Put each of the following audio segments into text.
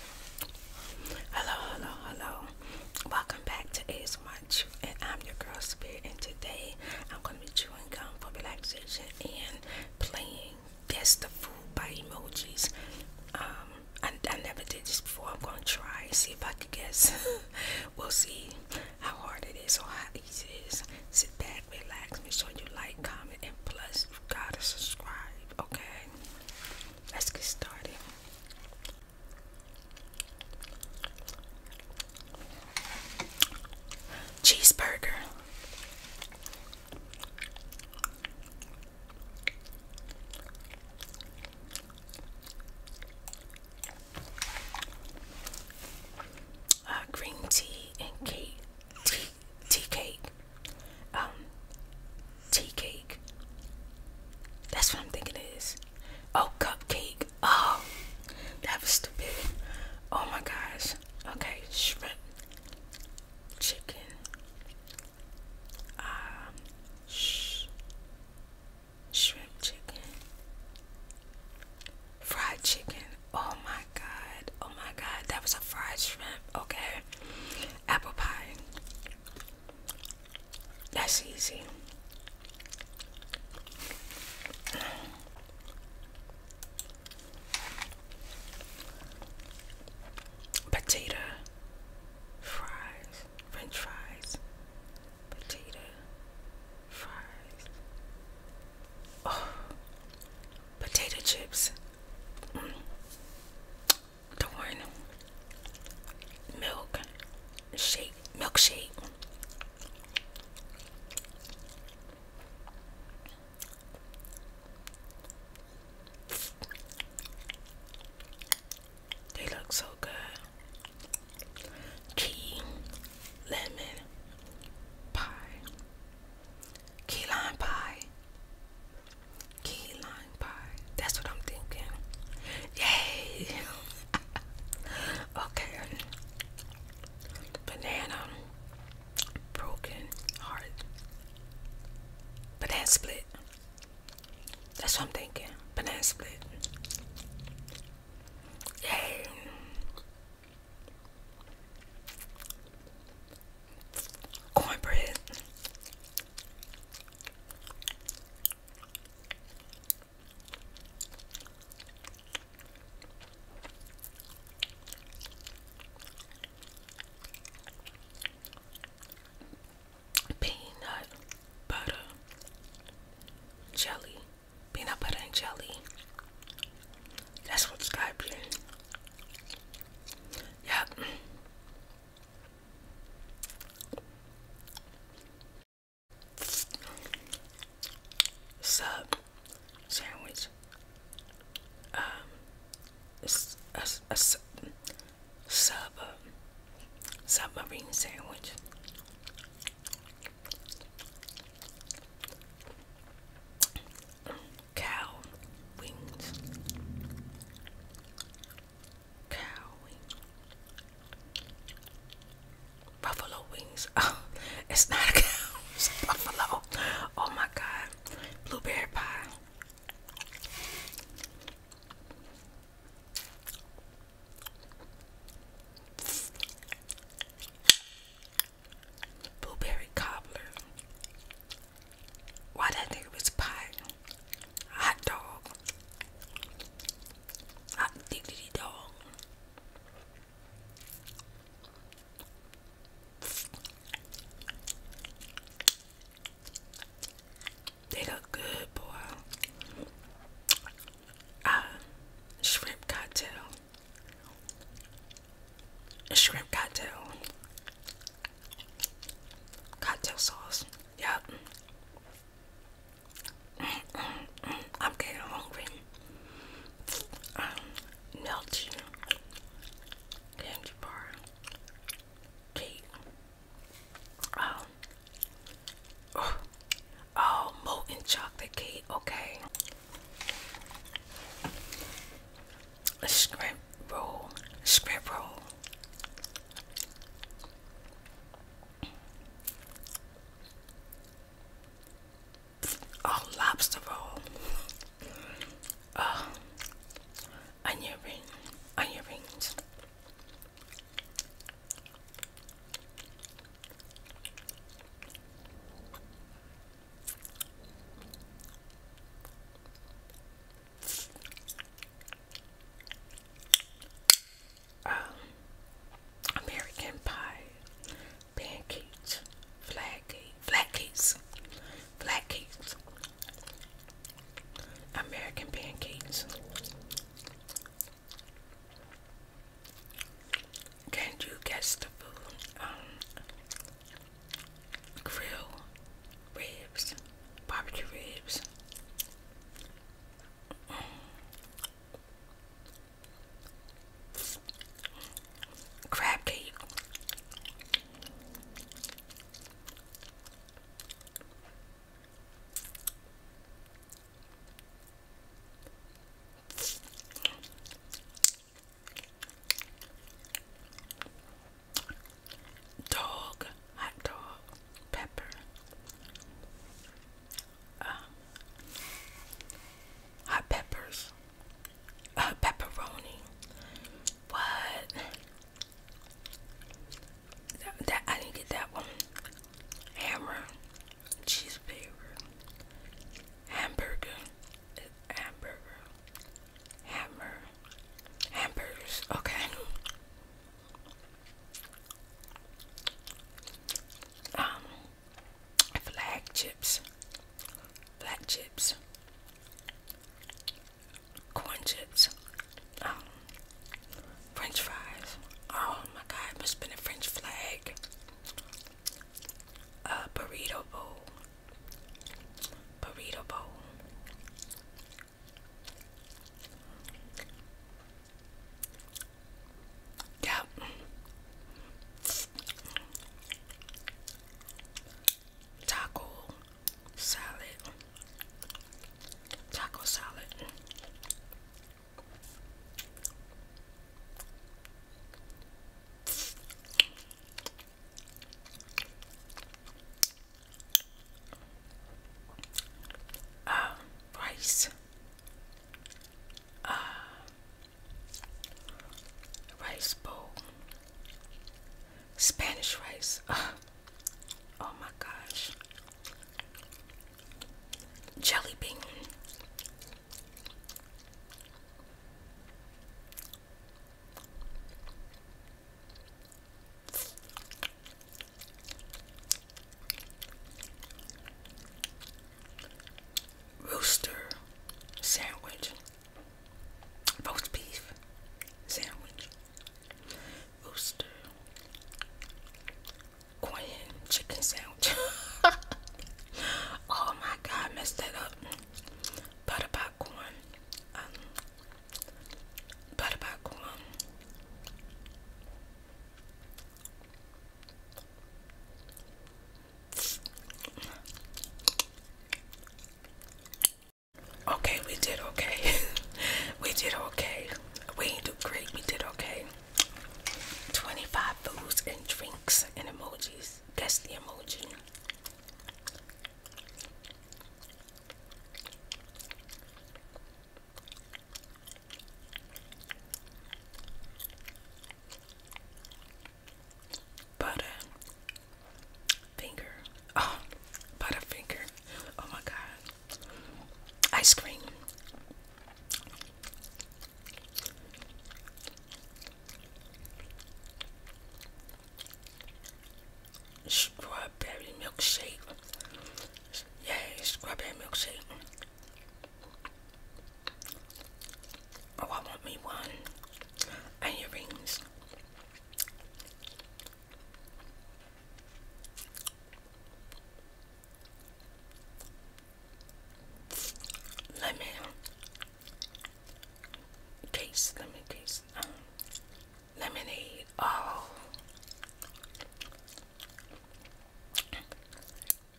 Hello, hello, hello. Welcome back to as Munch, and I'm your girl Spirit. And today I'm going to be chewing gum for relaxation and playing Guess the Food by Emojis. Um, I, never did this before. I'm going to try see if I can guess. we'll see how hard it is or how easy it is. Sit back, relax, make sure you like, comment, and plus, you gotta subscribe, okay? Let's get started. Cheeseburger. Uh, green tea and cake, tea, tea cake um, tea cake. That's what I'm thinking it is. Oh, cupcake. Oh, that was stupid. Oh my gosh. Okay, shrimp, chicken. Um, sh shrimp chicken, fried chicken. Oh my god. Oh my god. That was a fried shrimp. Okay apple pie. That's easy. Potato fries, french fries, potato fries, oh, potato chips. Mm. Torn milk milkshake. They look so good. Key lemon pie, key lime pie, Key lime pie. That's what I'm thinking. Yay! okay. Banana. Broken heart. Banana split. That's what I'm thinking. Banana split. Yay! cornbread. Peanut butter jelly. Peanut butter and jelly. That's what's got in. Yep. Sub sandwich. Um, a, a, sub, uh, submarine sandwich cow wings. Cow wings. Buffalo wings. Oh, it's not a cow. It's a buffalo. Oh my god. Blueberry pie. Blueberry cobbler. Why that nigga was pot? Hot dog. Hot diggity dog. They look good, boy. Uh, shrimp cocktail. shrimp cocktail. Cocktail sauce. Yep. I'm getting hungry. melty candy bar. Cake. Um, oh, molten chocolate cake. Okay script roll, script roll. Oh, lobster roll. Uh, onion ring, onion rings um, American pie, pancakes, flat cake, flat cakes, flat cakes, American pancakes. Can you guess the food? Um, grill ribs, barbecue ribs. Crab cake. Dog, hot dog, pepper, uh, hot peppers, uh, pepperoni. What? That, I didn't get that one. Hammer, cheese hamburger, hamburger, Hammer. Hamburgers. Okay. Um, flag chips. Black chips. Corn chips. Um, French fries. Oh my god, must have been French flag. A burrito bowl burrito bowl. Yep. Taco salad. Taco salad. Um, uh, rice, rice bowl, Spanish rice. oh my gosh, jelly bean. Rooster sandwich, roast beef sandwich, rooster, corn chicken sandwich. oh my god, messed that up. Butter popcorn, um, butter popcorn. Okay, we did okay. we did okay. We did do great. We did okay. 25 foods and drinks and emojis. Guess the emoji. Butter finger. Oh, butter finger. Oh my god. Ice cream. Strawberry milkshake. yeah, strawberry milkshake. Oh, I want me one. And earrings. Lemon taste lemon taste um, lemonade. Oh,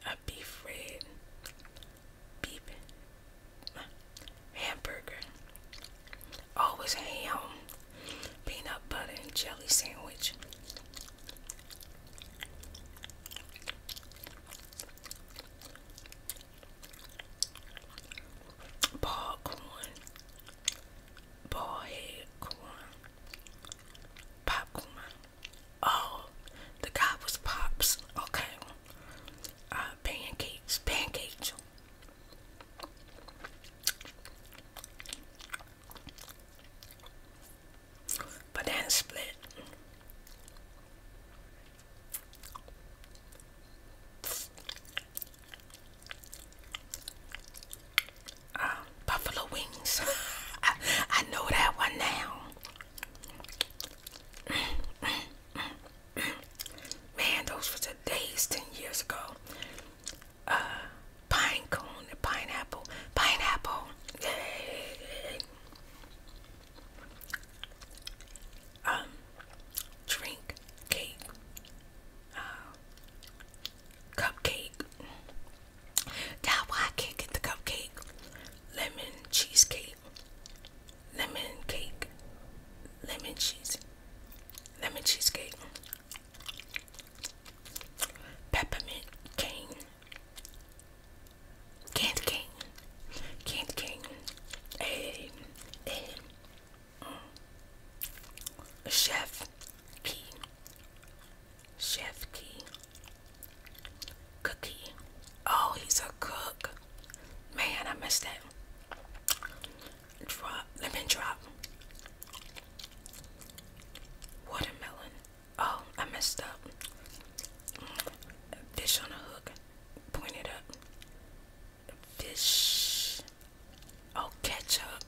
a beef red, beef hamburger. Always ham, peanut butter and jelly sandwich. Ball corn, corn, popcorn. Oh, the guy was pops. Okay. Uh, pancakes, pancakes. Banana split. Uh, buffalo wings. I, know that one now. Man, those were the days 10 years ago. Uh, pineapple, pineapple um, drink, cake, uh, cupcake. That's why can't get the cupcake. Lemon cheesecake, lemon cake, lemon cheese, lemon cheesecake, peppermint cane, candy cane, King King. A, a, mm. Chef Key. Chef Key. Cookie. Oh, he's a cook. Man, I missed that. Drop, lemon drop. Watermelon. Oh, I messed up. Fish on a hook. Point it up fish. Oh, ketchup,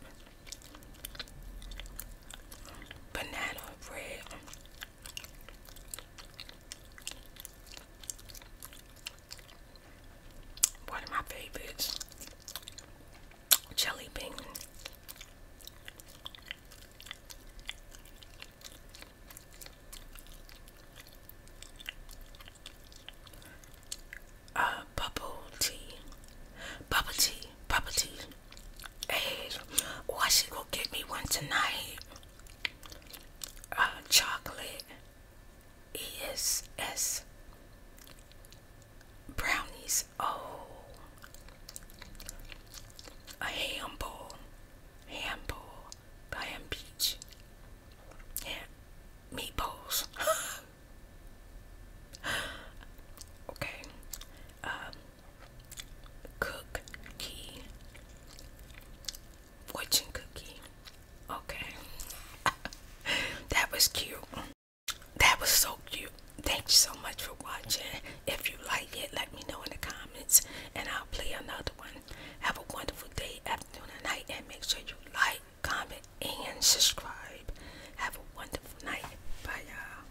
banana bread. One of my favorites, jelly bean. Uh, bubble tea. Bubble tea. Bubble tea. Hey, oh, I should go get me one tonight. Uh, chocolate. ESS. Brownies. Oh. A ham bowl. Ham bowl. Ham beach. Yeah, meatballs. okay. Um, cookie. Fortune cookie. Okay. that was cute. That was so cute. Thank you so much for watching. If you like it, let me know in the comments and I'll play another one. Have a wonderful day afternoon and night. And make sure you like, comment, and subscribe. Have a wonderful night. Bye, y'all.